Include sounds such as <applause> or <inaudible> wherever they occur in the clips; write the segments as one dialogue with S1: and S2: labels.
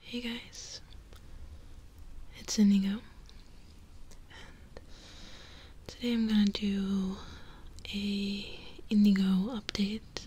S1: Hey guys, it's Indigo, and today I'm gonna do a Indigo update,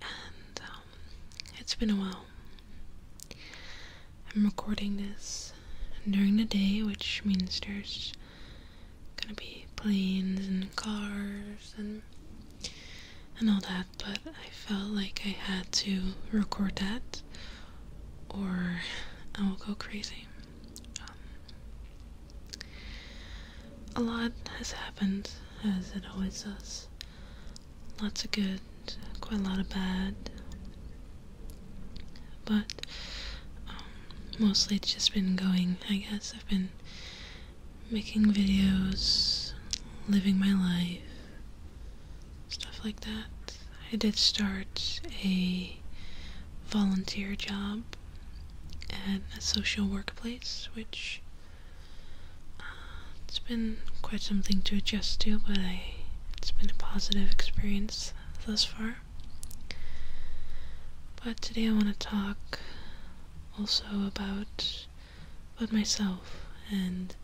S1: and um, it's been a while. I'm recording this during the day, which means there's gonna be planes and cars and and all that but I felt like I had to record that or I will go crazy. Um, a lot has happened, as it always does. Lots of good, quite a lot of bad. But um, mostly it's just been going, I guess. I've been making videos, living my life, stuff like that. I did start a volunteer job at a social workplace, which uh, it's been quite something to adjust to, but it's been a positive experience thus far. But today I want to talk also about about myself and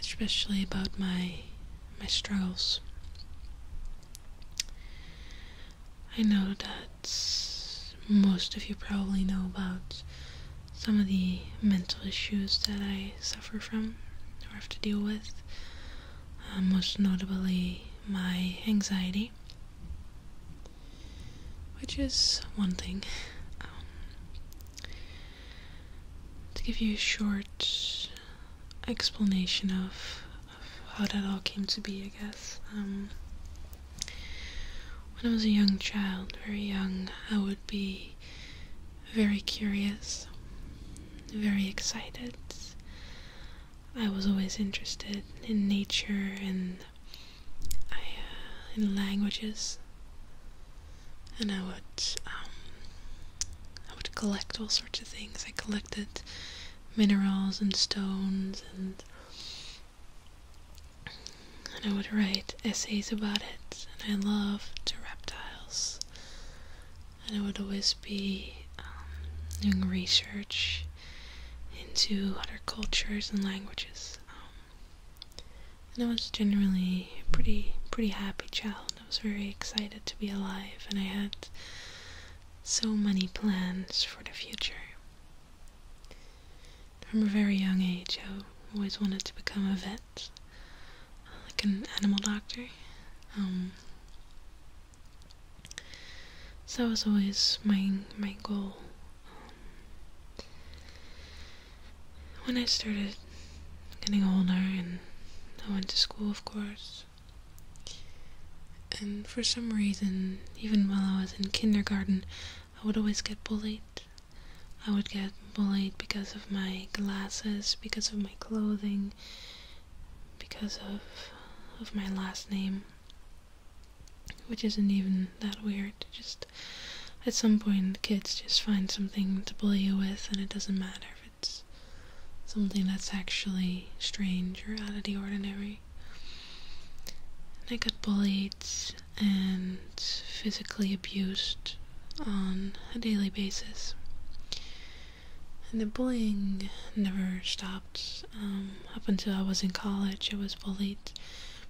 S1: especially about my my struggles. I know that most of you probably know about some of the mental issues that I suffer from or have to deal with, uh, most notably my anxiety which is one thing. Um, to give you a short explanation of, how that all came to be, I guess. Um, when I was a young child, very young, I would be very curious, very excited. I was always interested in nature and I, uh, in languages, and I would um, I would collect all sorts of things. I collected minerals and stones, and I would write essays about it. And I loved reptiles, and I would always be um, doing research into other cultures and languages. Um, and I was generally a pretty, pretty happy child. I was very excited to be alive, and I had so many plans for the future. From a very young age, I always wanted to become a vet, like an animal doctor. Um, so that was always my my goal. Um, when I started getting older and I went to school, of course, and for some reason, even while I was in kindergarten, I would always get bullied. I would get bullied because of my glasses, because of my clothing, because of of my last name which isn't even that weird. Just at some point, kids just find something to bully you with, and it doesn't matter if it's something that's actually strange or out of the ordinary. And I got bullied and physically abused on a daily basis. And the bullying never stopped. Um, up until I was in college, I was bullied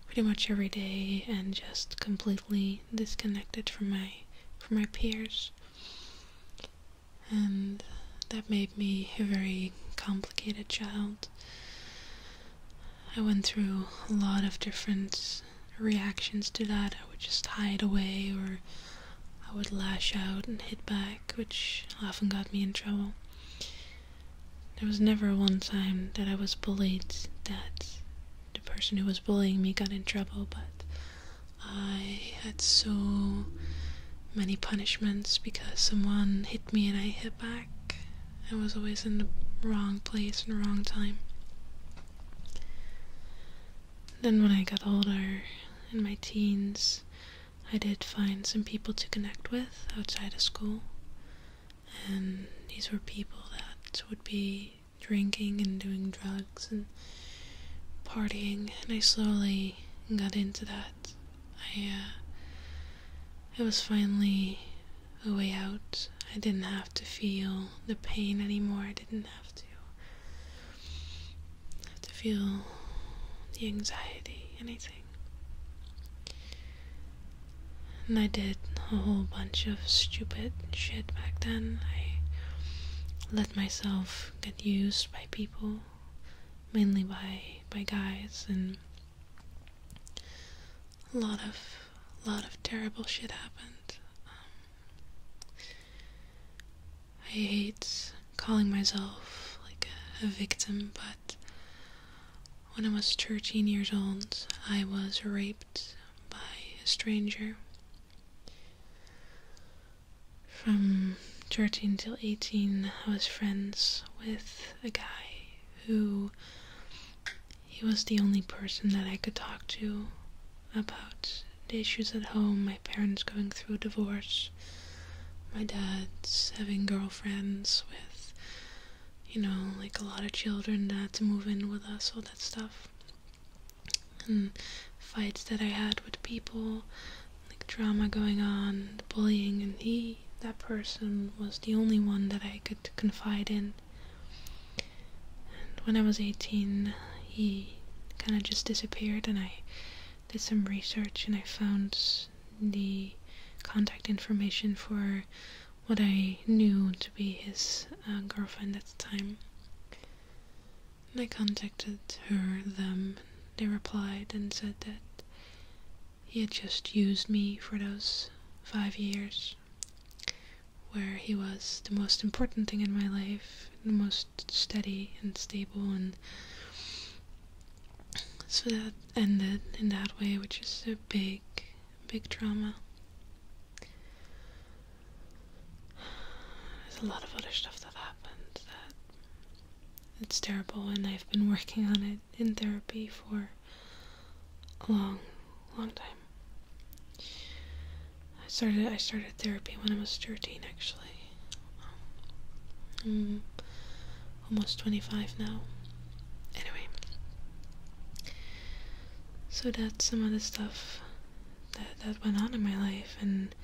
S1: pretty much every day and just completely disconnected from my from my peers and that made me a very complicated child. I went through a lot of different reactions to that. I would just hide away or I would lash out and hit back, which often got me in trouble. There was never one time that I was bullied that the person who was bullying me got in trouble, but I had so many punishments because someone hit me and I hit back. I was always in the wrong place and wrong time. Then when I got older, in my teens, I did find some people to connect with outside of school and um, these were people that would be drinking and doing drugs and partying, and I slowly got into that. I uh, it was finally a way out. I didn't have to feel the pain anymore. I didn't have to have to feel the anxiety, anything. And I did a whole bunch of stupid shit back then. I let myself get used by people, mainly by by guys, and a lot of a lot of terrible shit happened. Um, I hate calling myself like a victim, but when I was 13 years old, I was raped by a stranger. From 13 till 18, I was friends with a guy who he was the only person that I could talk to about the issues at home, my parents going through a divorce, my dad having girlfriends with you know, like a lot of children that had to move in with us, all that stuff. And fights that I had with people, like drama going on, bullying, and he, that person, was the only one that I could confide in. And when I was 18, he kind of just disappeared, and I did some research and I found the contact information for what I knew to be his uh, girlfriend at the time. And I contacted her, them, they replied and said that he had just used me for those five years, where he was the most important thing in my life, the most steady and stable, and so that ended in that way, which is so big big drama. There's a lot of other stuff that happened that it's terrible, and I've been working on it in therapy for a long, long time. I started I started therapy when I was 13, actually. Um, almost 25 now. Anyway, so that's some of the stuff that, that went on in my life, and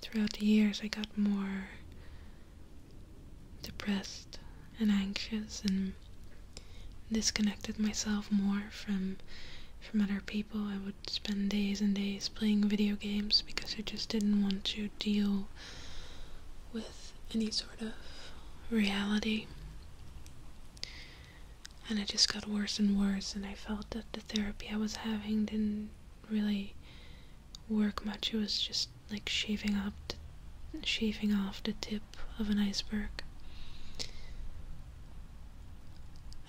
S1: throughout the years, I got more depressed and anxious and disconnected myself more from from other people. I would spend days and days playing video games because I just didn't want to deal with any sort of reality. And it just got worse and worse, and I felt that the therapy I was having didn't really work much. It was just like shaving up, shaving off the tip of an iceberg.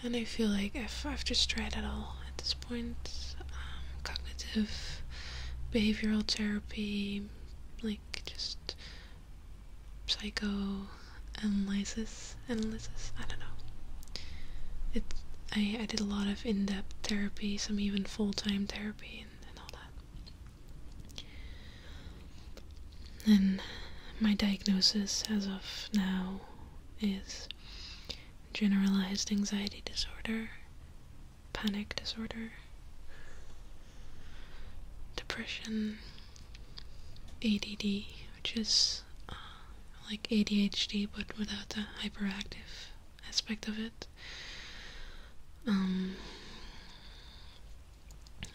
S1: And I feel like I've, I've just tried it all at this point. Um, cognitive behavioral therapy, like just psychoanalysis, analysis, I don't know. It, I, I did a lot of in-depth therapy, some even full-time therapy and, and all that. And my diagnosis as of now is generalized anxiety disorder panic disorder, depression, ADD, which is uh, like ADHD but without the hyperactive aspect of it, um,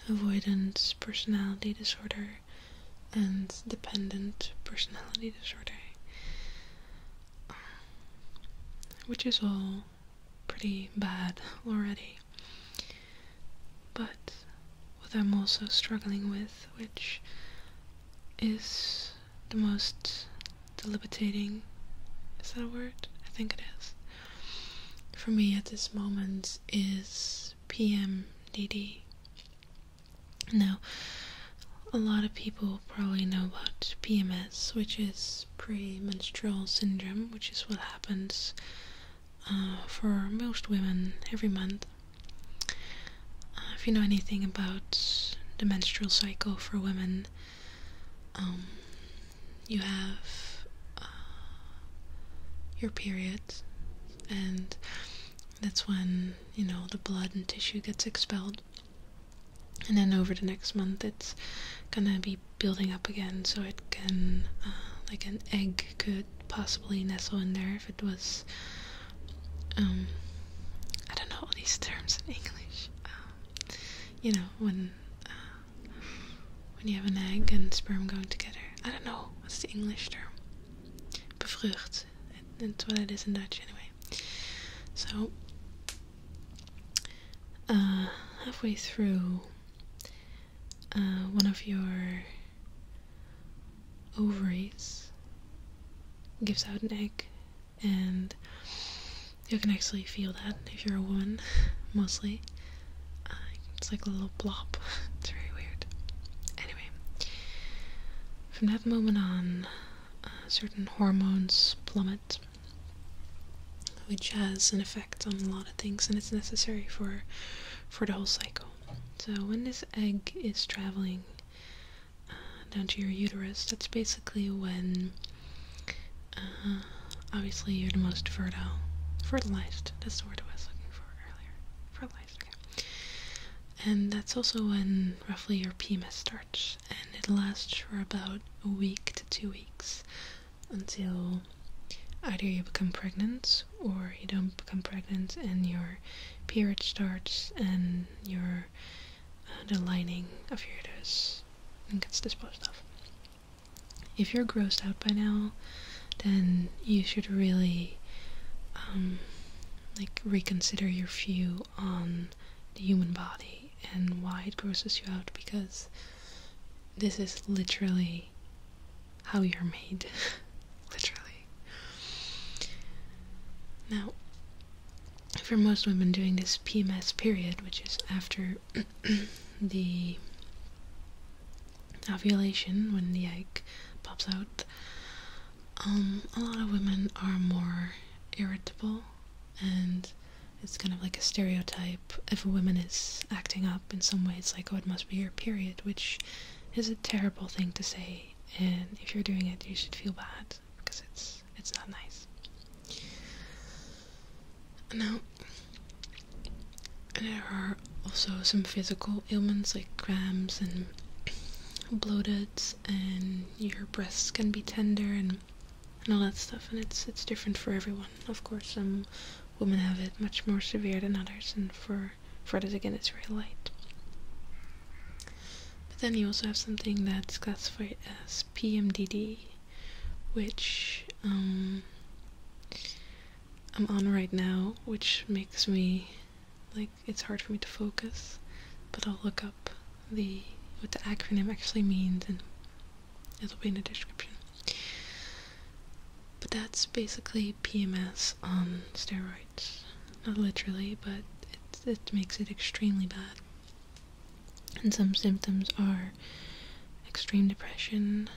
S1: avoidance personality disorder, and dependent personality disorder. Um, which is all pretty bad already. But what I'm also struggling with, which is the most debilitating, is that a word? I think it is. For me at this moment is PMDD. Now, a lot of people probably know about PMS, which is premenstrual syndrome, which is what happens uh, for most women every month. Uh, if you know anything about the menstrual cycle for women, um, you have uh, your period, and that's when you know the blood and tissue gets expelled and then over the next month it's gonna be building up again so it can uh, like an egg could possibly nestle in there if it was um I don't know all these terms in English um, you know when uh, when you have an egg and sperm going together I don't know what's the English term bevrucht that's what it is in Dutch anyway so uh, halfway through uh, one of your ovaries gives out an egg, and you can actually feel that if you're a woman, <laughs> mostly. Uh, it's like a little blob. <laughs> it's very weird. Anyway, from that moment on, certain hormones plummet which has an effect on a lot of things and it's necessary for for the whole cycle. So when this egg is traveling uh, down to your uterus, that's basically when uh, obviously you're the most fertile, fertilized. That's the word I was looking for earlier. Fertilized. And that's also when roughly your penis starts and it lasts for about a week to two weeks until either you become pregnant or you don't become pregnant and your period starts and your uh, the lining of your uterus gets disposed of. If you're grossed out by now, then you should really um, like reconsider your view on the human body and why it grosses you out because this is literally how you're made. <laughs> literally. Now, for most women doing this PMS period, which is after <clears throat> the ovulation when the egg pops out, um, a lot of women are more irritable and it's kind of like a stereotype. If a woman is acting up in some way, it's like, oh, it must be your period, which is a terrible thing to say. And if you're doing it, you should feel bad because it's it's not nice. Now, there are also some physical ailments like cramps and bloated, and your breasts can be tender and and all that stuff, and it's it's different for everyone. Of course, some women have it much more severe than others, and for for others again, it's very light. But then you also have something that's classified as PMDD, which um, I'm on right now, which makes me like it's hard for me to focus. But I'll look up the what the acronym actually means and it'll be in the description. But that's basically PMS on steroids. Not literally, but it, it makes it extremely bad. And some symptoms are extreme depression,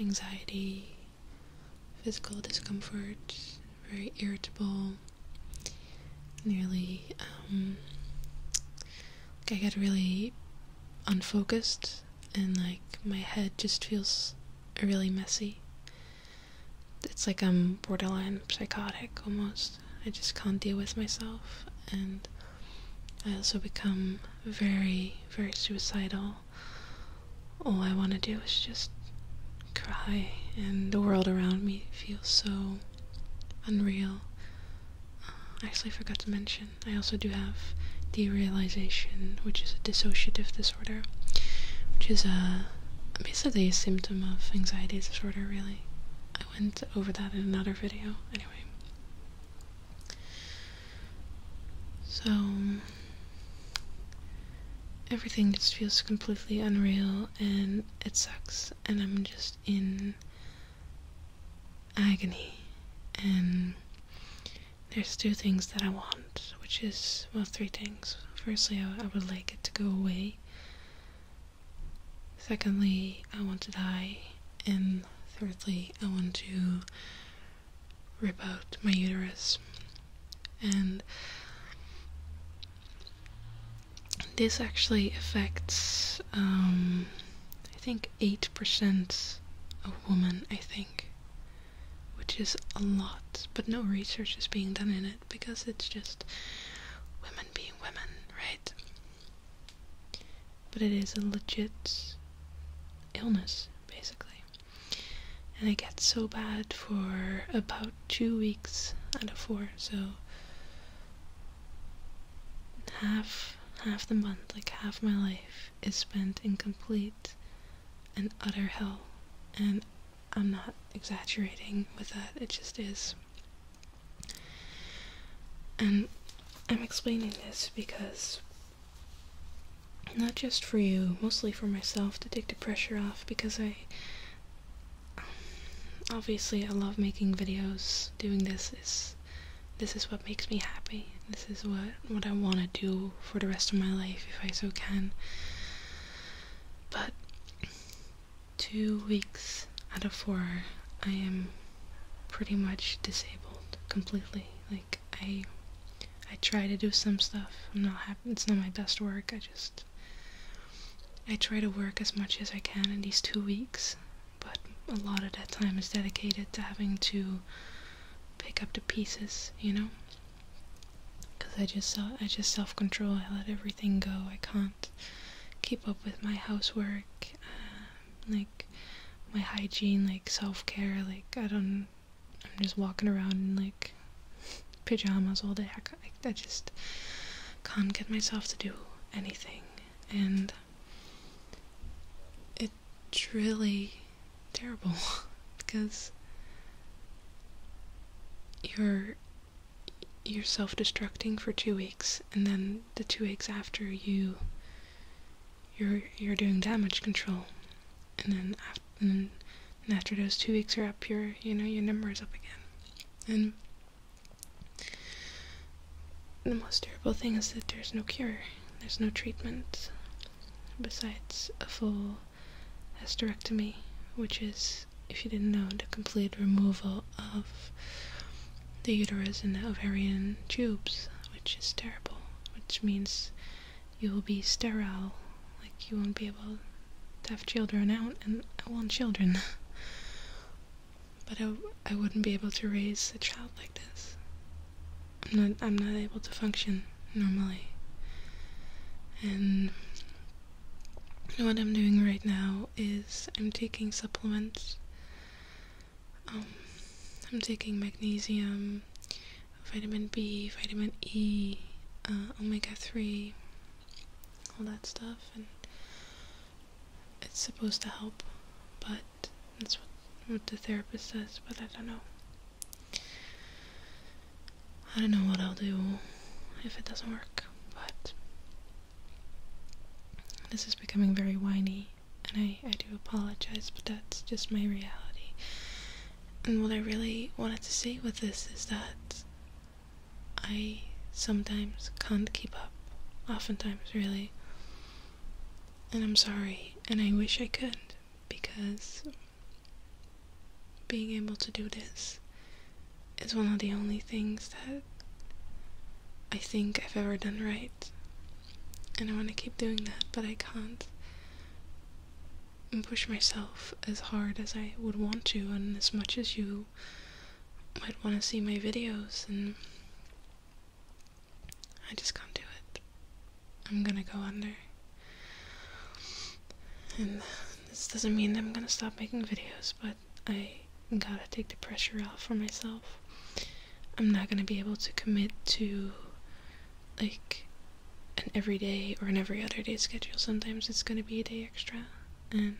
S1: anxiety, physical discomfort, very irritable, nearly um, like I get really unfocused and like my head just feels really messy. It's like I'm borderline psychotic almost. I just can't deal with myself and I also become very, very suicidal. All I want to do is just cry, and the world around me feels so Unreal. Uh, I actually forgot to mention, I also do have derealization, which is a dissociative disorder, which is uh, basically a symptom of anxiety disorder, really. I went over that in another video, anyway. So, everything just feels completely unreal and it sucks, and I'm just in agony. And there's two things that I want, which is, well, three things. Firstly, I, I would like it to go away. Secondly, I want to die. And thirdly, I want to rip out my uterus. And this actually affects, um, I think, 8% of women, I think, which is a lot, but no research is being done in it because it's just women being women, right? But it is a legit illness, basically. And it gets so bad for about two weeks out of four, so half half the month, like half my life is spent in complete and utter hell. And I'm not exaggerating with that, it just is. And I'm explaining this because not just for you, mostly for myself to take the pressure off because I obviously I love making videos. Doing this is this is what makes me happy. This is what what I want to do for the rest of my life if I so can. But two weeks out of four, I am pretty much disabled completely. Like I I try to do some stuff. I'm not happy. It's not my best work. I just I try to work as much as I can in these two weeks, but a lot of that time is dedicated to having to pick up the pieces, you know? Because I just I just self control. I let everything go. I can't keep up with my housework, uh, like my hygiene, like self care. Like I don't. I'm just walking around and like pajamas all day. I, just can't get myself to do anything, and it's really terrible <laughs> because you're you're self-destructing for two weeks, and then the two weeks after you you're you're doing damage control, and then after, after those two weeks are up, your you know your number is up again, and the most terrible thing is that there's no cure, there's no treatment besides a full hysterectomy, which is, if you didn't know, the complete removal of the uterus and the ovarian tubes, which is terrible, which means you will be sterile, like you won't be able deaf children out and I want children. <laughs> but I, I wouldn't be able to raise a child like this. I'm not, able to function normally. And what I'm doing right now is I'm taking supplements. Um, I'm taking magnesium, vitamin B, vitamin E, uh, omega 3, all that stuff, and it's supposed to help, but that's what, the therapist says, but I don't know. I don't know what I'll do if it doesn't work, but this is becoming very whiny, and I, I do apologize, but that's just my reality. And what I really wanted to say with this is that I sometimes can't keep up, oftentimes, really. And I'm sorry, and I wish I could, because being able to do this is one of the only things that I think I've ever done right. And I want to keep doing that, but I can't push myself as hard as I would want to and as much as you might want to see my videos, and I just can't do it. I'm gonna go under. And this doesn't mean that I'm gonna stop making videos, but I gotta take the pressure off for myself. I'm not gonna be able to commit to like an everyday or an every other day schedule. Sometimes it's gonna be a day extra and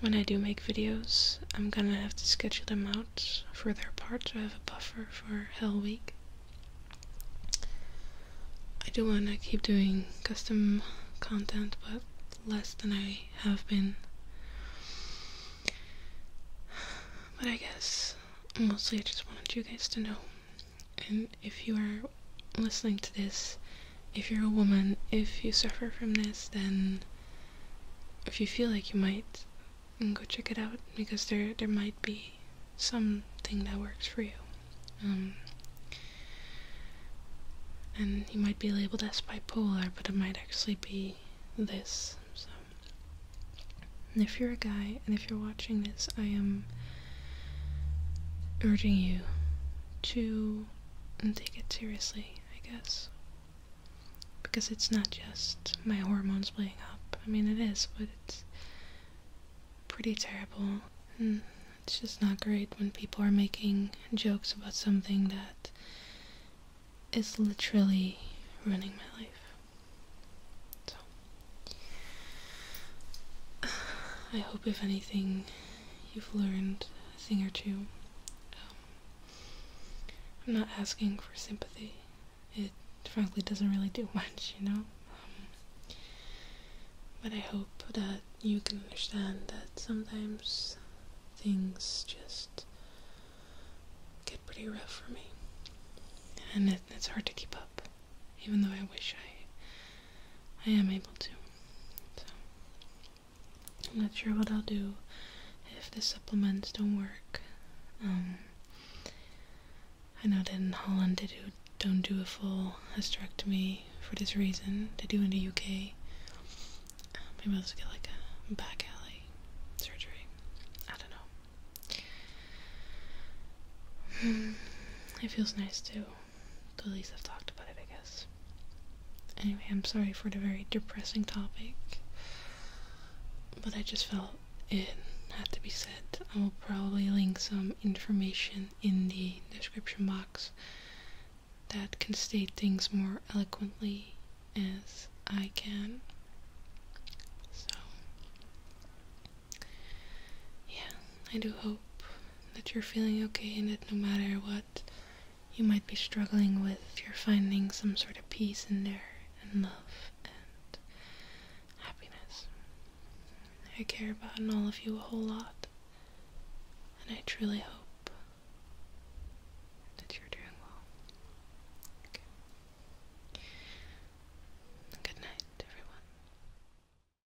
S1: when I do make videos, I'm gonna have to schedule them out for their part, so I have a buffer for Hell Week. I do wanna keep doing custom content, but less than I have been. But I guess mostly I just wanted you guys to know. And if you are listening to this, if you're a woman, if you suffer from this, then if you feel like you might, go check it out because there there might be something that works for you. Um, and you might be labeled as bipolar, but it might actually be this. So, and if you're a guy and if you're watching this, I am urging you to take it seriously, I guess. Because it's not just my hormones playing up. I mean, it is, but it's pretty terrible. And hmm, it's just not great when people are making jokes about something that is literally ruining my life. So, <sighs> I hope if anything you've learned a thing or two. Um, I'm not asking for sympathy. It frankly doesn't really do <laughs> much, you know? Um, but I hope that you can understand that sometimes things just get pretty rough for me. And it's hard to keep up even though I wish I I am able to. I'm not sure what I'll do if the supplements don't work. Um, I know that in Holland they do, don't do a full hysterectomy for this reason. They do in the UK. Um, maybe I'll just get like a back alley surgery. I don't know. Hmm, it feels nice too. At least I've talked about it, I guess. Anyway, I'm sorry for the very depressing topic, but I just felt it had to be said. I will probably link some information in the description box that can state things more eloquently as I can. So, yeah, I do hope that you're feeling okay and that no matter what you might be struggling with, you're finding some sort of peace in there and love and happiness. I care about and all of you a whole lot, and I truly hope that you're doing well. Okay. Good night, everyone.